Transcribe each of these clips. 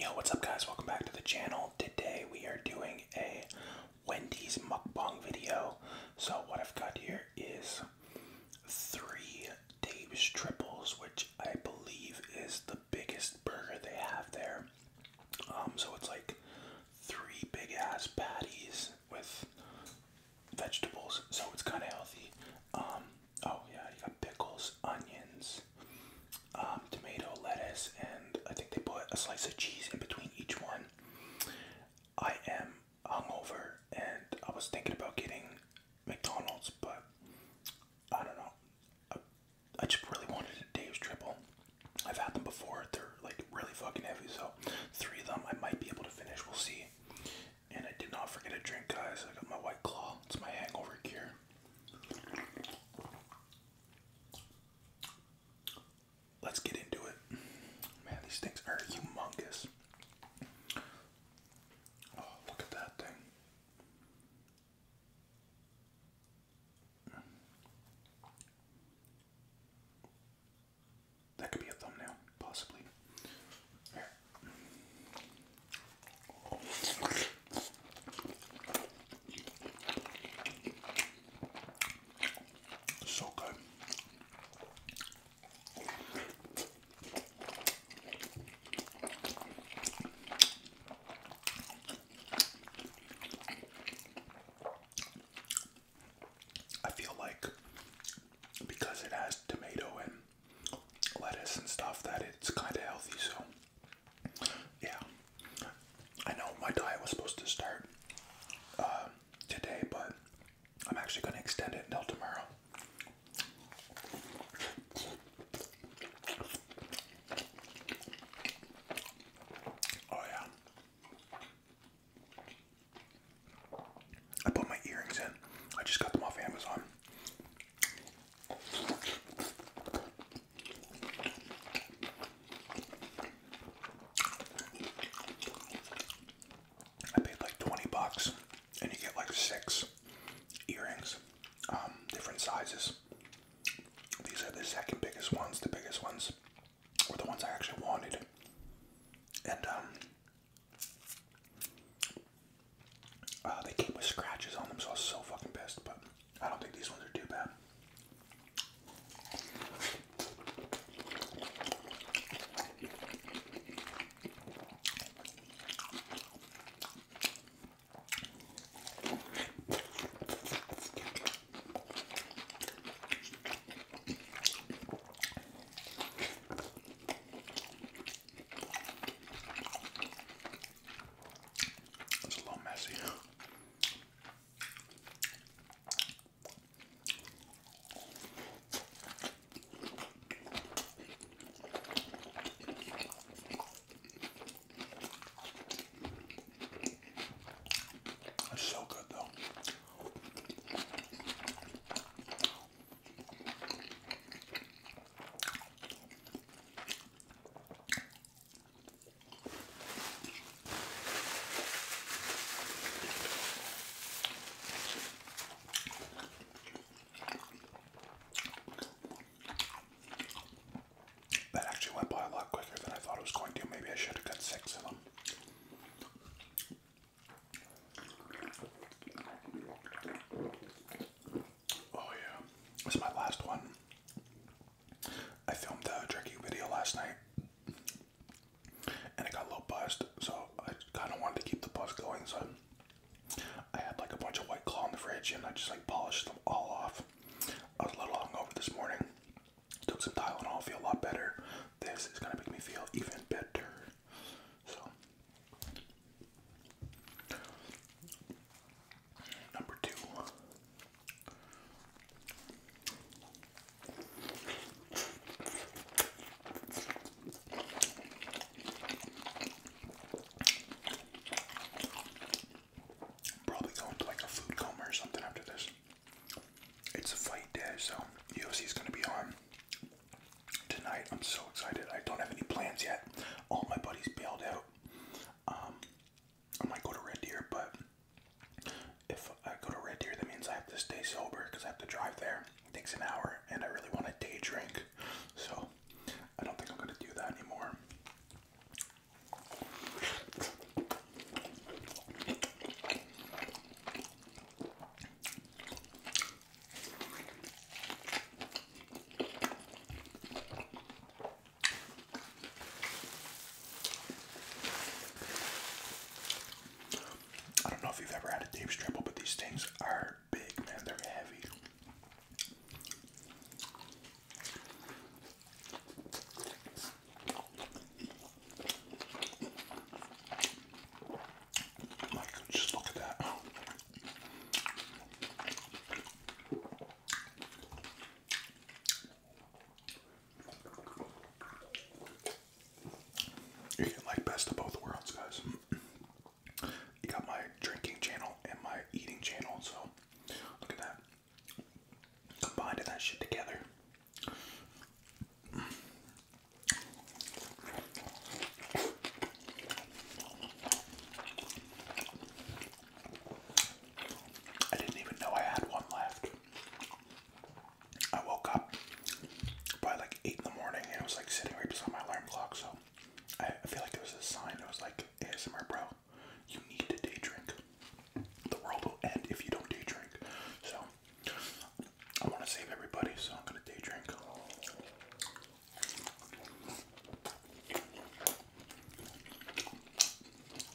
Yo, what's up guys? Welcome back to the channel. Today we are doing a Wendy's mukbang video. So what I've got here is three Dave's triples, which I believe is the biggest burger they have there. Um, so it's like three big ass patties with vegetables, so it's kind of healthy. Um, oh yeah, you got pickles, onions, um, tomato, lettuce, and I think they put a slice of cheese in between each one. I am hungover, and I was thinking about getting McDonald's, but I don't know. I just really wanted a Dave's triple. I've had them before; they're like really fucking heavy. So three of them I might be able to finish. We'll see. And I did not forget a drink, guys. I got my White Claw. It's my hangover cure. Let's get into it. Man, these things are humongous. Oh, look at that thing. That could be a thumbnail, possibly. So good. I feel like because it has tomato and lettuce and stuff that it's kind of healthy so yeah, I know my diet was supposed to start uh, today, but I'm actually going to extend it until tomorrow. Oh, yeah. I put my earrings in. I just got them off Amazon. I paid like 20 bucks and you get like six earrings, um, different sizes. These are the second biggest ones, the biggest ones were the ones I actually wanted. And um, uh, they came with scratches on them, so I was so fucking pissed, but I don't think these ones are too bad. It's a little messy. It's so good though. That actually went by a lot quicker than I thought it was going to. Maybe I should have got six of them. Oh yeah, this is my last one. I filmed a jerky video last night, and it got a little buzzed, so I kind of wanted to keep the bust going. So I had like a bunch of white claw in the fridge, and I just like polished them all off. I was a little hungover this morning. Took some Tylenol, feel a lot better. This is gonna make me feel even better. So Number 2 probably going to like a food coma or something after this. It's a fight day, so UFC is going to be on tonight. I'm so excited. I don't have any plans yet. All my buddies bailed out. Um, I might go to Red Deer, but if I go to Red Deer, that means I have to stay sober because I have to drive there. It takes an hour, and I really want a day drink, so I don't think I'm gonna do that anymore. I don't know if you've ever had a Dave's Triple, but these things are big, man. They're heavy. just look at that. You get like best of both worlds, guys. You got my drinking channel and my eating channel, so look at that. Combined that shit together. I didn't even know I had one left. I woke up by like 8 in the morning and it was like sitting right beside my alarm clock, so I, feel like it was a sign. It was like, ASMR, bro, you need to day drink. The world will end if you don't day drink. So, I want to save everybody, so I'm going to day drink.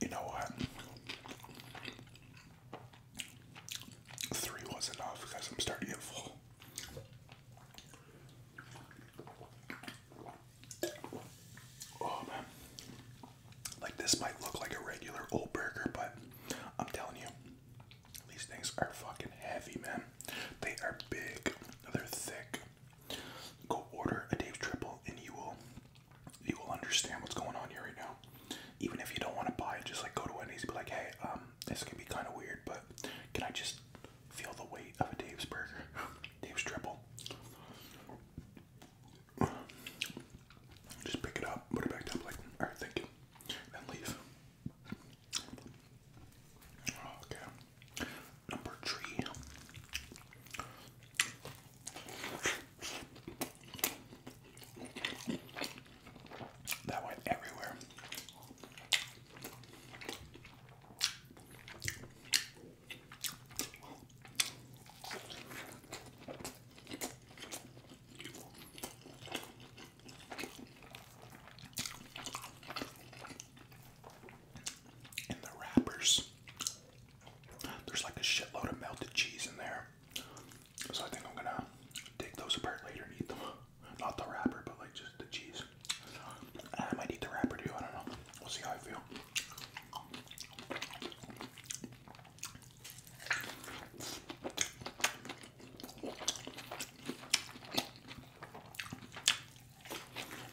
You know what? Three was enough because I'm starting to get full. Oh man. Like this might look like a regular old burger, but I'm telling you, these things are fucking heavy, man. They are big, they're thick, Go order a Dave's Triple, and you will you will understand what's going on here right now. Even if you don't want to buy it, just like go to Wendy's and be like, hey, um, this can be kind of weird, but can I just feel the weight of a Dave's burger? Dave's Triple. Just pick it up, put it back down, like, alright, thank you, and leave. Okay, number three. That went everywhere. And the wrappers there's like a shitload of melted cheese in there. So I think I'm gonna take those apart later and eat them. Not the wrapper, but like just the cheese. I might eat the wrapper too, I don't know. We'll see how I feel.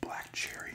Black cherry.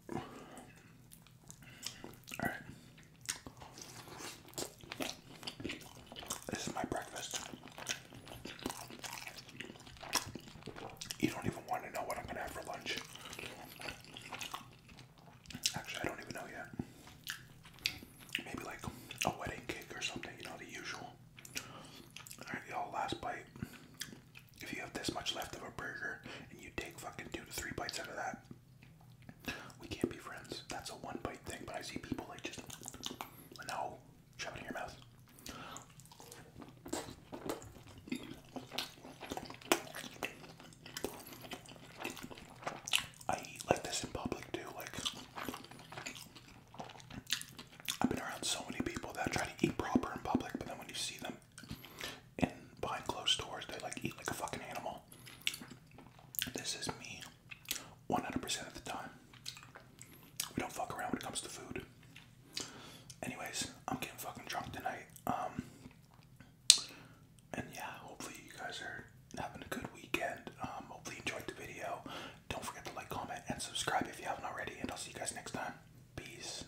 All right. This is my breakfast. You don't even want to know what I'm going to have for lunch. Actually, I don't even know yet. Maybe like a wedding cake or something, you know, the usual. Alright, y'all, last bite if you have this much left of a burger and you take fucking two to three bites out of that, we can't be friends. That's a one bite thing, but I see people like just, no, shove it in your mouth. I eat like this in public too, like I've been around so many people that try to eat proper in public, but then when you see them and behind closed doors they like eat like a fucking animal. This is me 100% of the time. We don't fuck around when it comes to food. Anyways, I'm getting fucking drunk tonight. Um and yeah, hopefully you guys are having a good weekend. Um, hopefully you enjoyed the video. Don't forget to like, comment, and subscribe if you haven't already, and I'll see you guys next time. Peace.